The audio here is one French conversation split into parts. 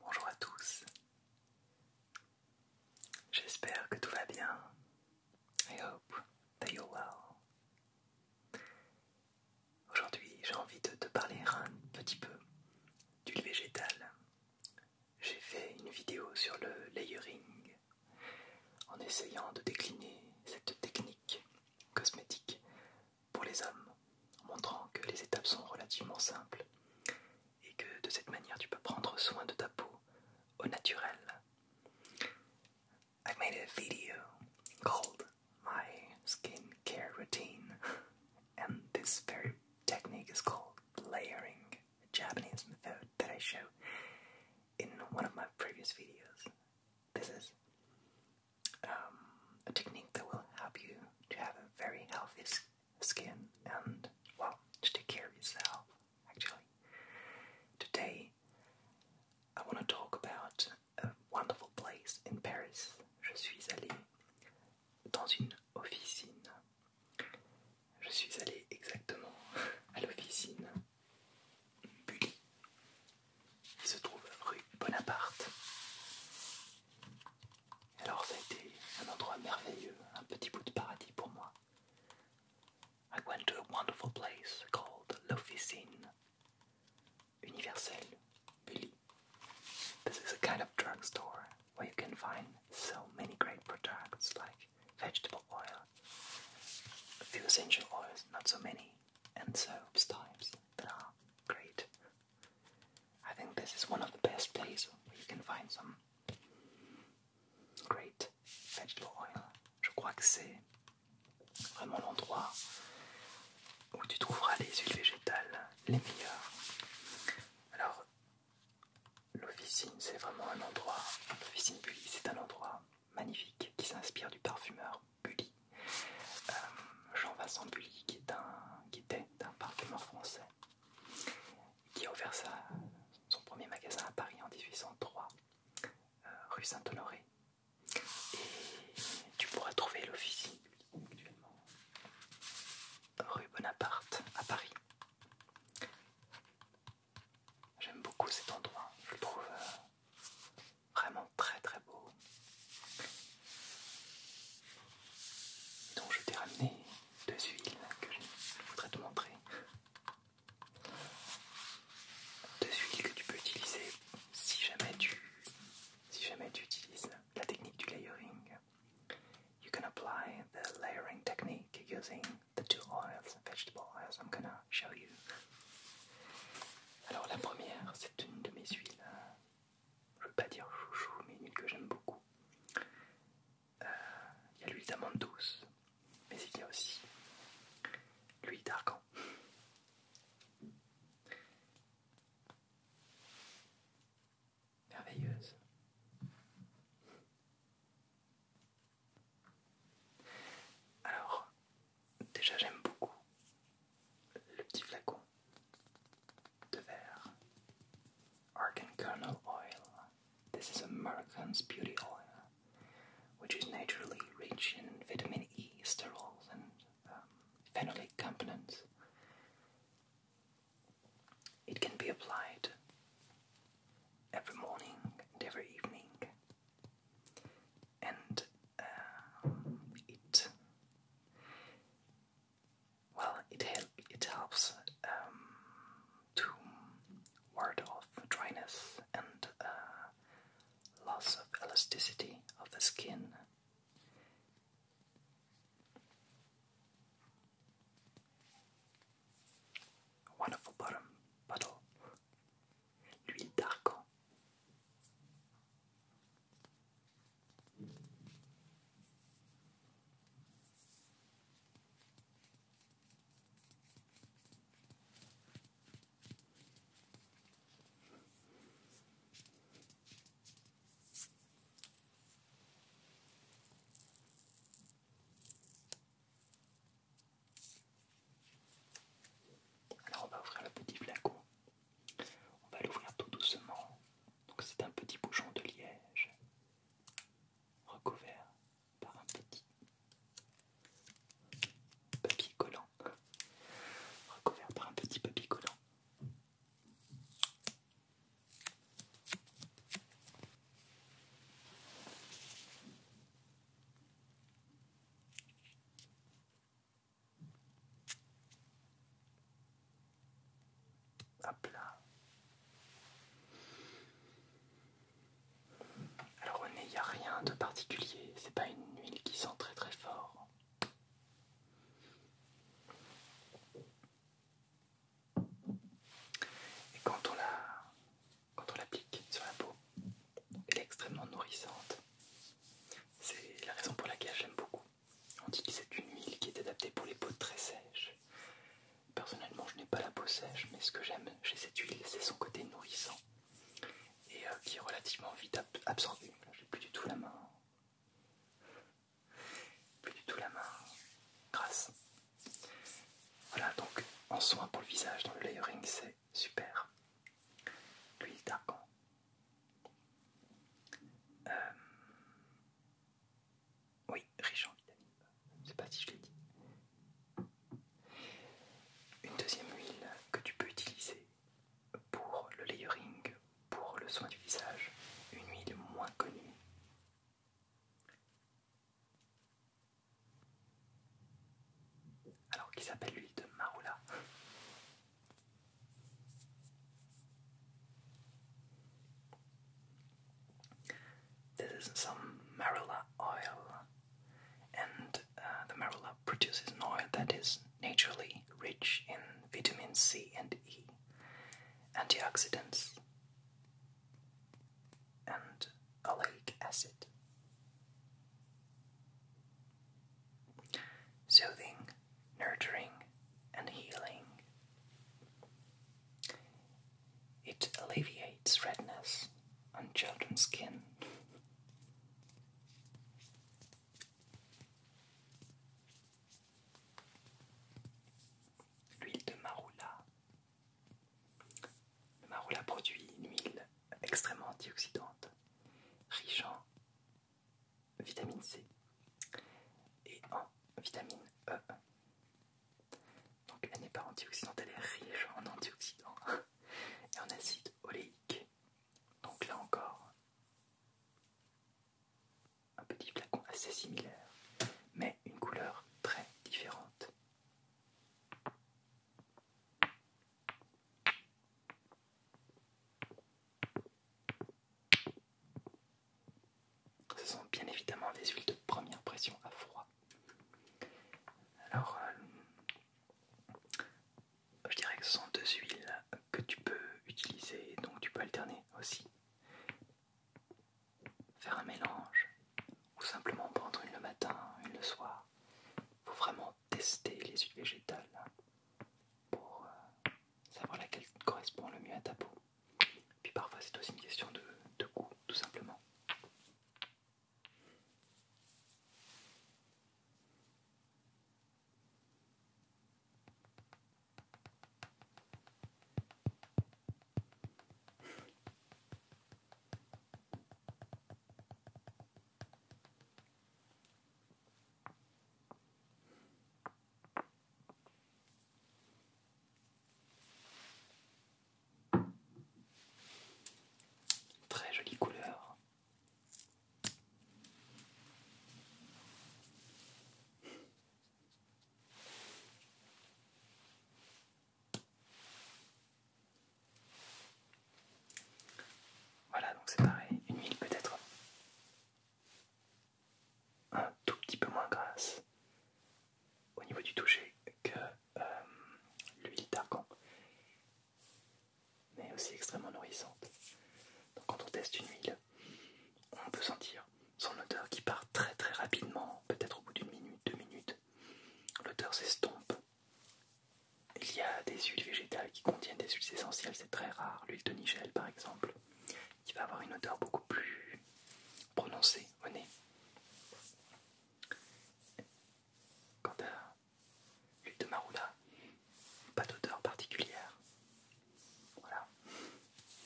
Bonjour à tous, j'espère que tout va bien. hope that well. Aujourd'hui, j'ai envie de te parler un petit peu d'huile végétale. J'ai fait une vidéo sur le layering en essayant de décliner cette technique cosmétique pour les hommes, en montrant que les étapes sont relativement simples et que de cette manière tu peux prendre soin de ta peau au naturel. I made a video called My Care Routine, and this very technique is called layering, a Japanese method that I show in one of my previous videos. This is um, a technique that will help you to have a very healthy skin and, well, to take care of yourself, actually. Today, I want to talk about a wonderful place in Paris. Je suis allé dans une officine. Je suis allé exactement à l'officine Bully. Il se trouve rue Bonaparte. Alors ça a un endroit merveilleux, un petit bout de paradis pour moi. I went to a wonderful place called L'Officine. Universel, Bully. This is a kind of drugstore where you can find so many great products like vegetable oil, few essential oils, not so many, and soaps types that are great. I think this is one of the best places where you can find some great vegetable oil. Je crois que c'est vraiment l'endroit où tu trouveras les huiles végétales les meilleures. Alors, l'officine, c'est vraiment un endroit, l'officine Bully, c'est un endroit magnifique qui s'inspire du parfumeur Bully. Euh, Jean Vincent Bully, qui, est un, qui était un parfumeur français, qui a ouvert son premier magasin à Paris en 1803, euh, rue Saint-Honoré. Et tu pourras trouver l'officier actuellement rue Bonaparte à Paris. J'aime beaucoup cet endroit, je le trouve euh, vraiment très très beau. donc je t'ai ramené deux huiles que je voudrais te montrer. Deux huiles que tu peux utiliser si jamais tu, si jamais tu utilises la technique du layering. You can apply the layering technique using the two oils, vegetable oils I'm gonna show you. Alors la première, c'est une de mes huiles, euh, je ne veux pas dire chouchou, mais une huile que j'aime beaucoup. Euh, il y a l'huile d'amande douce, mais il y a aussi l'huile d'argan. Merveilleuse. Alors, déjà j'aime beaucoup le petit flacon de verre Argan Kernel Oil. This is American's Beauty Oil, which is naturally rich in vitamin E, sterols, and um, phenolic components. It can be applied every morning and every evening and um, it well it helps um, to ward off dryness and uh, loss of elasticity of the skin. Wonderful bottom bottle. L'huile d'argan. Alors on va ouvrir le petit flacon. On va l'ouvrir tout doucement. Donc c'est un petit bouchon de liège recouvert par un petit papier collant. Recouvert par un petit papier collant. À plat. Alors on il n'y a rien de particulier, c'est pas une huile qui sent très très fort. Et quand on la quand on l'applique sur la peau, elle est extrêmement nourrissante. C'est la raison pour laquelle j'aime beaucoup. On dit que c'est une huile qui est adaptée pour les peaux très sèches. Personnellement, je n'ai pas la peau sèche, mais ce que j'aime chez cette huile, c'est son côté nourrissant et euh, qui est relativement vite absorbée. absorbé. J'ai plus du tout la main, plus du tout la main grasse. Voilà donc en soin pour le visage dans le layering c'est super. L'huile d'argan. Euh, oui, riche en vitamine, Je ne sais pas si je l'ai dit. Une deuxième huile que tu peux utiliser pour le layering, pour le soin du visage, une huile moins connue. This is some marula oil, and uh, the marula produces an oil that is naturally rich in vitamin C and E, antioxidants, and oleic acid. Soothing, nurturing, and healing. It alleviates redness on children's skin. L'huile de maroula Le Marula produit une huile extrêmement antioxydante, riche en vitamine C et en vitamine E. Donc elle n'est pas antioxydante, elle est riche en antioxydants et en acide oléique. Donc là encore, un petit flacon assez similaire, mais une couleur très différente. Ce sont bien évidemment des huiles de première pression à froid. Alors, euh, je dirais que ce sont deux huiles que tu peux utiliser, donc tu peux alterner aussi. Faire un mélange ou simplement prendre une le matin, une le soir. Il faut vraiment tester les huiles végétales pour euh, savoir laquelle correspond le mieux à ta peau. Puis parfois c'est aussi une question de, de goût tout simplement. Très jolie couleur. Voilà, donc c'est pareil, une huile peut-être un tout petit peu moins grasse au niveau du toucher que euh, l'huile d'argan, mais aussi extrêmement nourrissante. Donc quand on teste une huile, on peut sentir son odeur qui part très très rapidement, peut-être au bout d'une minute, deux minutes. L'odeur s'estompe. Il y a des huiles végétales qui contiennent des huiles essentielles, c'est très rare. L'huile de Nigel par exemple, qui va avoir une odeur beaucoup plus prononcée au nez. Quant à l'huile de Marula, pas d'odeur particulière. Voilà.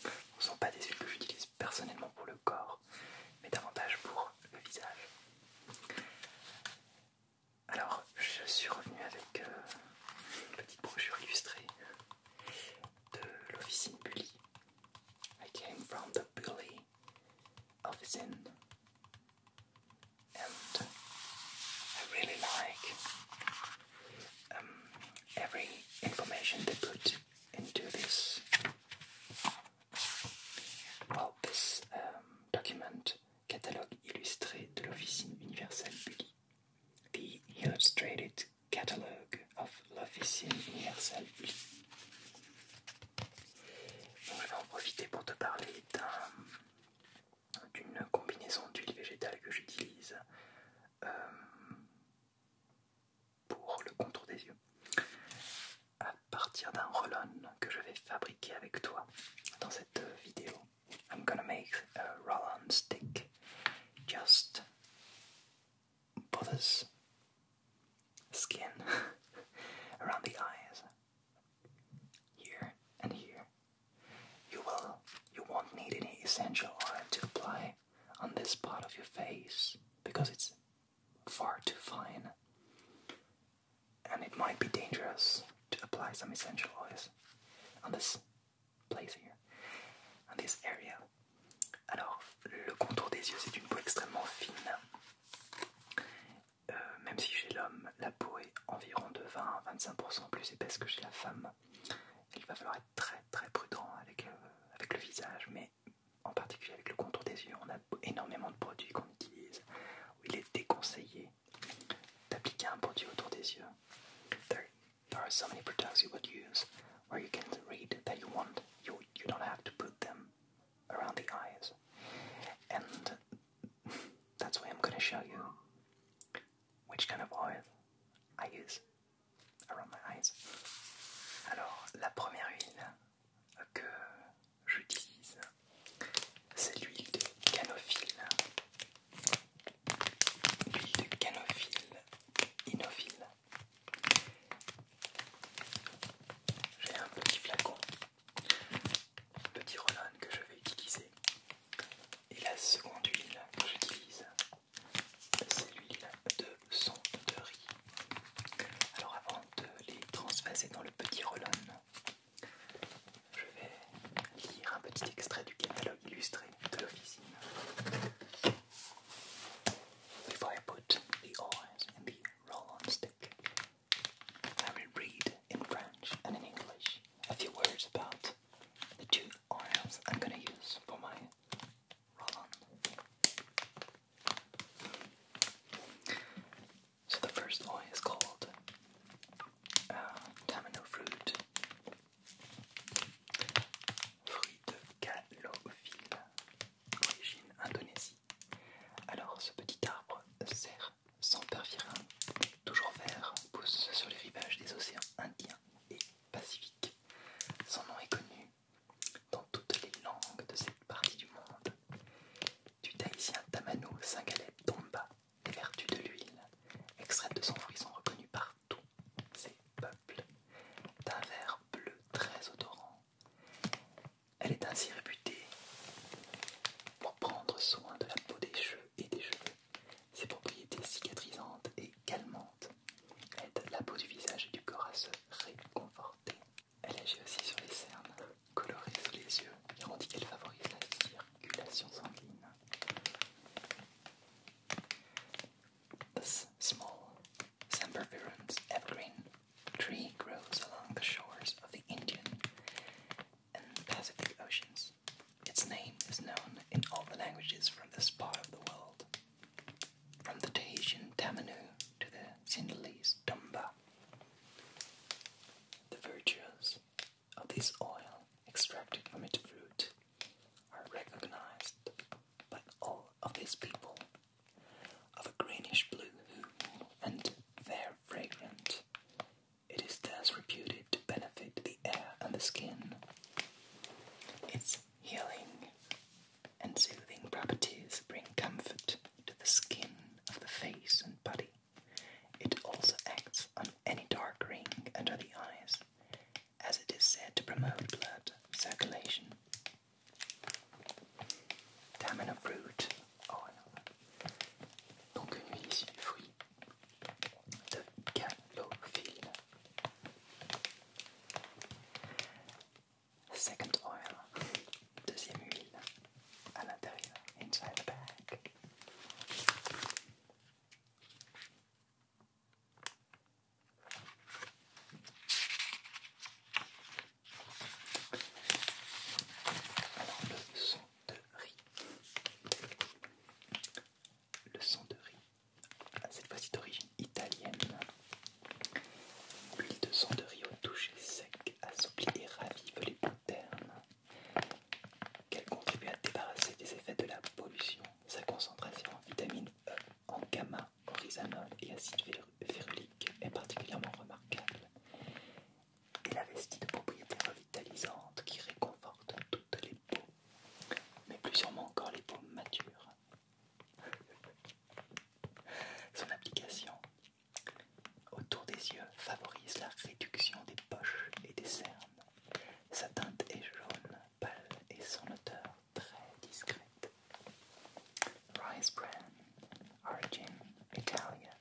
Ce ne sont pas des huiles que j'utilise personnellement pour le corps, mais davantage pour le visage. Alors, je suis revenu avec euh, une petite brochure illustrée de l'officine Bully. I came from the Bully officine and I really like um, every information they put into this Opus euh, Document, catalogue illustré de l'Officine universelle Bulli. The Illustrated Catalogue of l'Officine universelle Je vais en profiter pour te parler d'une combinaison d'huile végétale que j'utilise. Euh, pour le contour des yeux à partir d'un roll que je vais fabriquer avec toi dans cette vidéo. I'm gonna make a roll-on stick just for this skin around the eyes, here and here. You will, you won't need any essential oil to apply on this part of your face because it's far too fine and it might be dangerous to apply essential oils on this place here, on this area. Alors, le contour des yeux, c'est une peau extrêmement fine. Euh, même si chez l'homme, la peau est environ de 20 à 25% plus épaisse que chez la femme, il va falloir être très très prudent avec, euh, avec le visage, mais mais en particulier avec le contour des yeux, on a énormément de produits qu'on utilise où il It is recommended to apply a autour around the eyes. there are so many products you would use where you can read that you want, you, you don't have to put them around the eyes. And that's why I'm going to show you which kind of oil I use. Alors, la première huile que j'utilise, c'est l'huile de canophile. L'huile de canophile, inophile. J'ai un petit flacon, petit Roland que je vais utiliser. Et la seconde huile que j'utilise, c'est l'huile de son de riz. Alors avant de les transvaser dans le petit roll je vais lire un petit extrait du catalogue illustré de l'officine. Before I put the oils in the roll-on stick, I will read in French and in English a few words about the two oils I'm gonna use for my So the first one is called uh, Tamino Fruit. Fruit de calophylle, origine Indonésie. Alors ce petit arbre sert sans pervirin, toujours vert, pousse sur les rivages des océans indiens et pacifiques. Son nom est connu dans toutes les langues de cette partie du monde, du tahitien tamano Singaleb, tomba les vertus de l'huile, extraite de son fruit sont reconnues par tous ces peuples, d'un vert bleu très odorant. Elle est ainsi réputée pour prendre soin de la peau des cheveux et des cheveux. Ses propriétés cicatrisantes et calmantes aide la peau du visage et du corps à se réconforter. Elle agit aussi sur les cernes, colorées sous les yeux et rendit qu'elle favorise la circulation sanguine. This small, sempervirens evergreen tree grows along the shores of the Indian and Pacific Oceans. Its name is known in all the languages from this part of the world from the Tahitian Tamano to the Sinhalese Tumba. The virtues of this oil extracted from its fruit are recognized by all of these people of a greenish blue hue and fair fragrant. It is thus reputed to benefit the air and the skin. Its Healing and soothing properties bring comfort to the skin of the face and body. It also acts on any dark ring under the eyes, as it is said to promote blood circulation. Tamina fruit. Oh, Donc une huile fruit de calophylle Second oil, deuxième huile à l'intérieur, inside the bag. Alors le son de riz. Le son de riz cette fois-ci d'origine italienne. L'huile de son de riz au toucher sec assouplit et ravive les peaux Qu'elle contribue à débarrasser des effets de la pollution. Sa concentration en vitamine E, en gamma, rhizanol et acide férulique est particulièrement remarquable. Elle investit de propriétés revitalisantes qui réconforte toutes les mais plus sûrement encore les peaux matures. Son application autour des yeux favorise la réduction des poches et des cernes. Sa teinte est jaune, pâle et son odeur très discrète. Rice bran, origin Italian.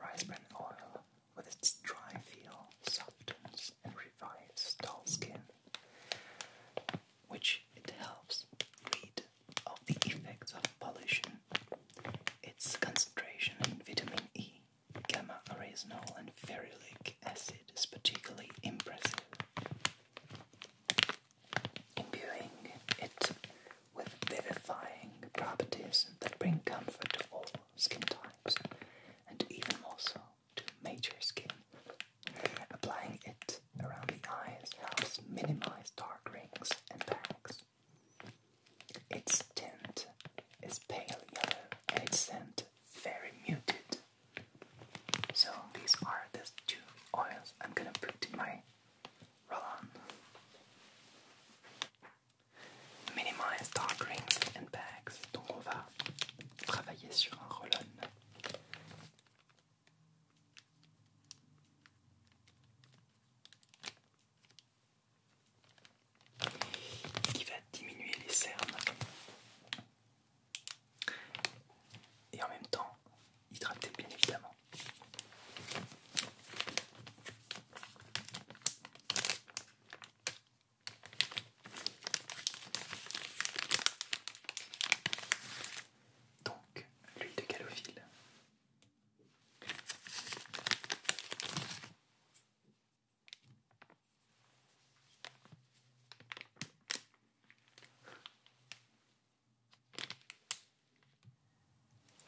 Rice bran oil with its dry feel softens and revives dull skin, which it helps rid of the effects of pollution. Its concentration in vitamin E, gamma arsenal, and ferulic acid is particularly impressive. Imbuing it with vivifying properties that bring comfort to all skin types, and even more so to major skin. Applying it around the eyes helps minimize dark rings and bags. Its tint is pale yellow its scent very muted. So these are the two oils I'm gonna put my roll-on. Minimize dark rings and bags. travailler sur un roll qui va diminuer les cernes et en même temps hydrater bien évidemment. Donc, l'huile de galophile.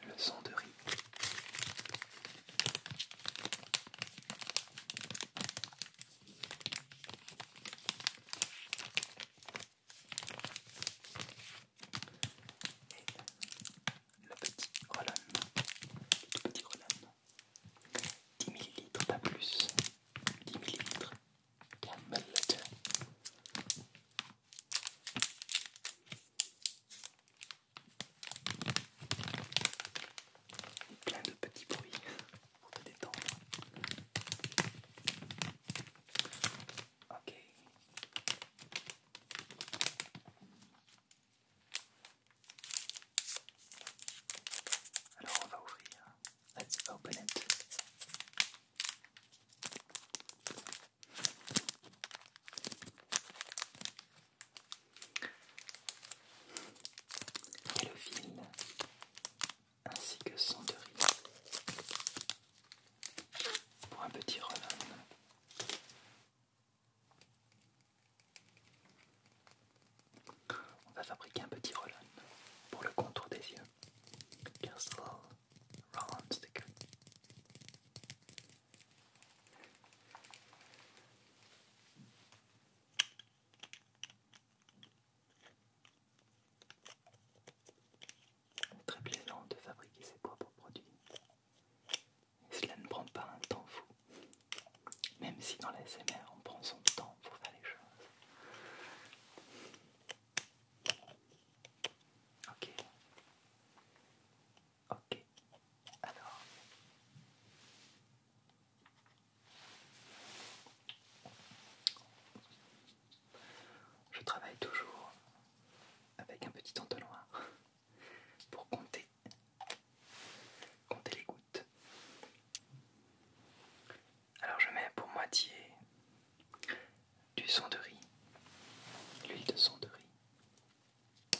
Le son de riz. Et le petit Rollon, petite colonne 10 ml, pas plus, 10 ml, Camel Lager plein de petits bruits pour te détendre. Ok. Alors on va ouvrir. Let's open it et le fil, ainsi que son de pour un petit relâche. On va fabriquer un petit roll pour le contour des yeux. Castle round, c'est Très plaisant de fabriquer ses propres produits. cela ne prend pas un temps fou. Même si dans la on prend son temps pour faire les choses. Ok. Ok. Alors. Je travaille toujours avec un petit entonnoir pour compter, compter les gouttes. Alors je mets pour moitié du son de riz, l'huile de son de riz.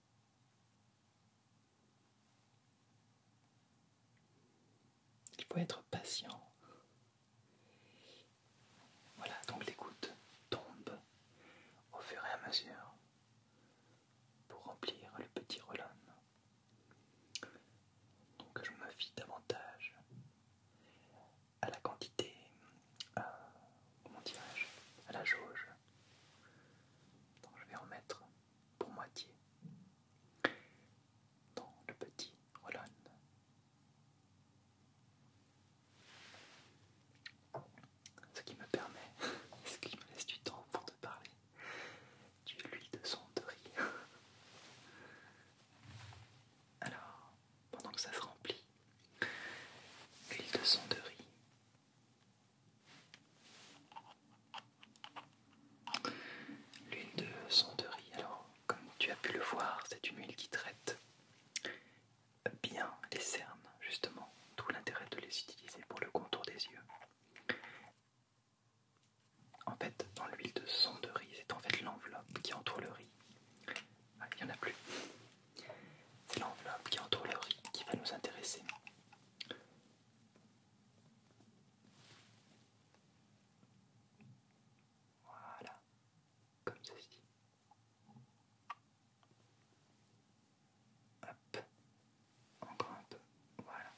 Il faut être patient. Voilà, donc les gouttes tombent au fur et à mesure pour remplir le petit roll Donc je me fie davantage à la quantité, au euh, comment à la jauge donc je vais en mettre pour moitié dans le petit roll Ce qui me permet, ce qui me laisse du temps pour te parler, tu l'huile de son de riz. Alors, pendant que ça se remplit, l'huile de son de riz L'huile de son riz. alors comme tu as pu le voir, c'est une huile qui traite bien les cernes, justement, Tout l'intérêt de les utiliser pour le contour des yeux. En fait, dans l'huile de riz, c'est en fait l'enveloppe qui entoure le riz. Ah, il n'y en a plus. C'est l'enveloppe qui entoure le riz qui va nous intéresser. Voilà, comme ceci. Hop, encore un peu, voilà.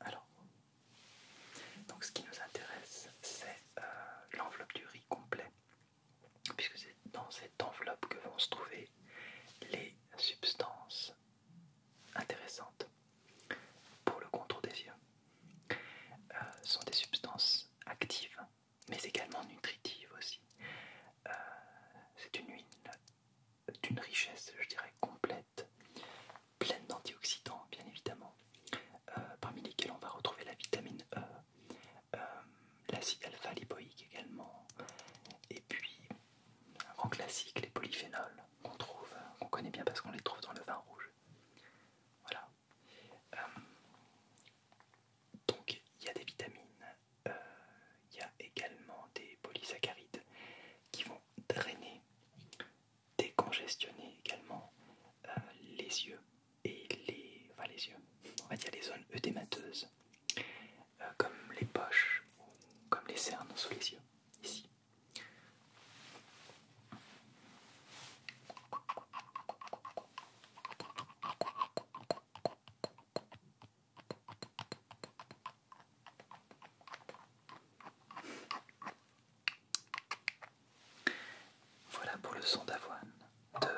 Alors, donc ce qui nous intéresse, c'est euh, l'enveloppe du riz complet puisque c'est dans cette enveloppe que vont se trouver les substances intéressantes pour le contour des yeux. Euh, sont des substances actives, mais également nutritives aussi. Euh, c'est une huile d'une richesse, je dirais, complète, pleine d'antioxydants, bien évidemment, euh, parmi lesquels on va retrouver la vitamine E, euh, l'acide alpha-lipoïque également, et puis en classique, les polyphénols qu'on trouve, connaît bien parce qu'on les trouve dans le vin rouge. Voilà. Euh, donc il y a des vitamines, il y a également des polysaccharides qui vont drainer, décongestionner également les yeux et les, yeux, on va dire les zones œdémateuses, euh, comme les poches ou comme les cernes sous les yeux, ici. Voilà pour le son d'avoine. De...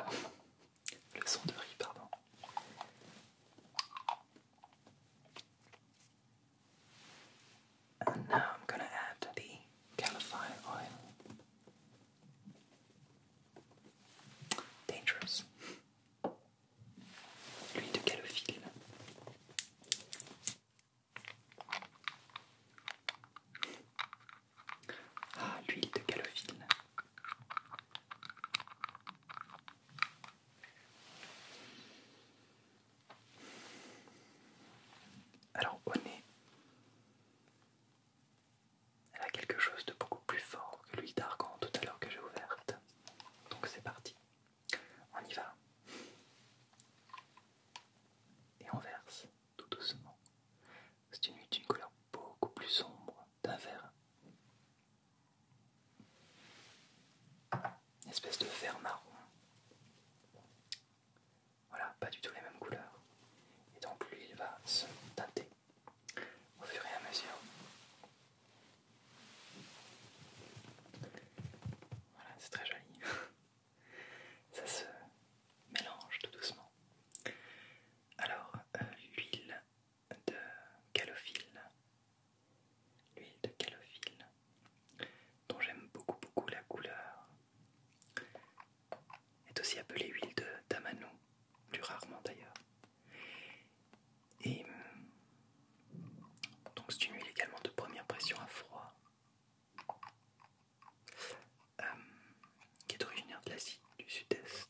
Le son de riz, pardon. And now I'm going to add the oil. Dangerous. L'huile de calophylle. Ah, l'huile de calophylle. Alors au nez, elle a quelque chose de beaucoup plus fort que l'huile d'argan tout à l'heure que j'ai ouverte. Donc c'est parti, on y va. Et on verse tout doucement. C'est une nuit d'une couleur beaucoup plus sombre, d'un vert. Une espèce de vert marron. Voilà, pas du tout les mêmes couleurs. Et donc lui, il va se teinter au fur et à mesure. Voilà, c'est très joli. ça se mélange tout doucement. Alors, euh, l'huile de calophylle, l'huile de calophylle, dont j'aime beaucoup beaucoup la couleur, est aussi appelée huile de tamano, plus rarement d'ailleurs. Et euh, donc c'est une huile également de première pression à froid, euh, qui est originaire de l'Asie du Sud-Est.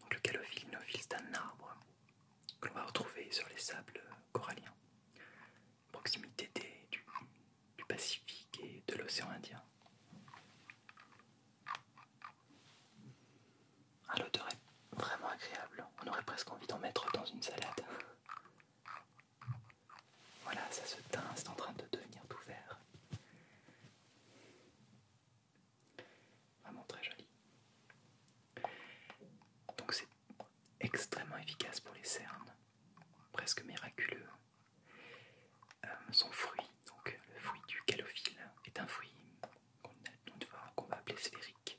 Donc le calophyllinophile, c'est un arbre que l'on va retrouver sur les sables coralliens, proximité des, du, Pacifique et de l'océan Indien. Un ah, L'odeur est vraiment agréable, on aurait presque envie d'en mettre dans une salade. Voilà, ça se teint, c'est en train de devenir tout vert. Vraiment très joli. Donc c'est extrêmement efficace pour les cernes, presque miraculeux. Euh, son fruit, donc le fruit du calophile est un fruit qu'on va appeler sphérique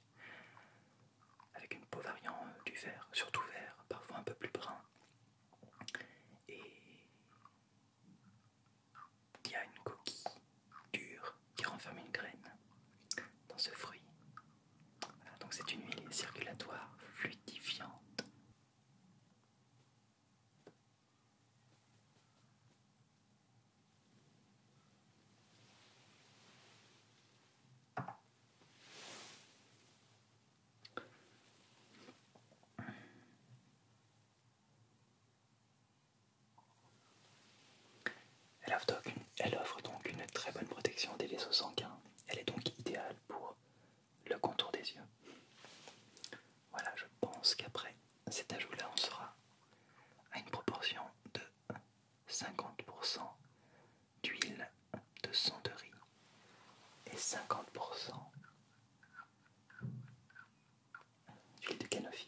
avec une peau variant euh, du vert, surtout vert, parfois un peu plus brun, et il y a une coquille dure qui renferme une graine dans ce fruit. donc c'est une huile circulatoire fluidifiante. Elle offre, donc une, très bonne protection des vaisseaux sanguins. Elle est donc idéale pour le contour des yeux. Voilà, je pense qu'après cet ajout-là, on sera à une proportion de 50% d'huile de centerie et 50% d'huile de canofine.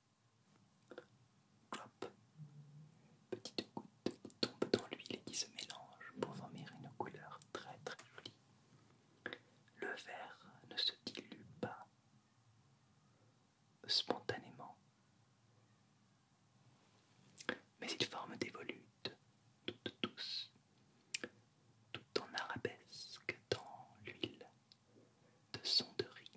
Clop. Petite goutte qui tombe dans l'huile et qui se mélange pour former une couleur très très jolie. Le verre ne se dilue pas spontanément, mais il forme des volutes toutes douces, toutes en arabesque dans l'huile de son de riz.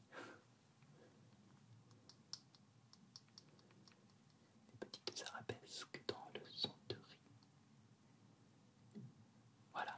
Des petites arabesques dans le son de riz. Voilà.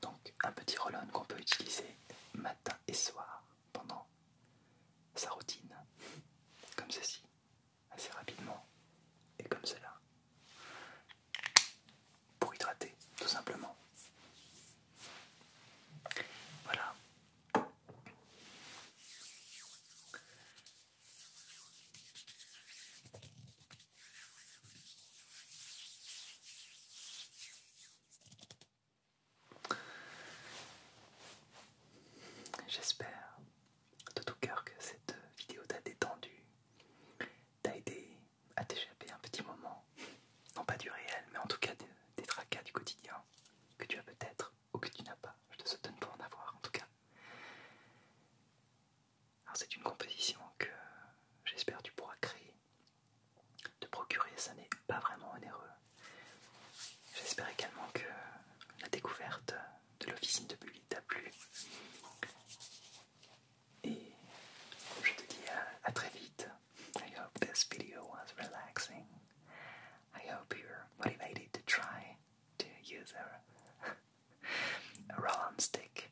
Donc un petit roll qu'on peut utiliser matin et soir pendant sa routine, comme ceci, assez rapidement et comme cela, pour hydrater tout simplement. Voilà. J'espère de tout cœur que cette vidéo t'a détendu, t'a aidé à t'échapper un petit moment, non pas du réel, mais en tout cas des, des tracas du quotidien que tu as peut-être ou que tu n'as pas. Je te souhaite de pas en avoir en tout cas. Alors c'est une composition que j'espère tu pourras créer. Te procurer, ça n'est pas vraiment onéreux. J'espère également que la découverte de l'officine de Bully t'a plu. Et je te dis à, à très vite. I hope this video was relaxing. I hope you're motivated to try to use a, a roll-on stick.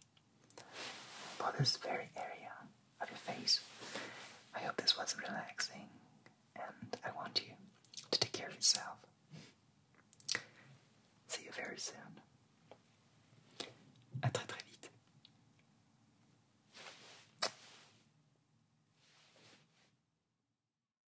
For this very area of your face. I hope this was relaxing, and I want you to take care of yourself. See you very soon. À très très vite.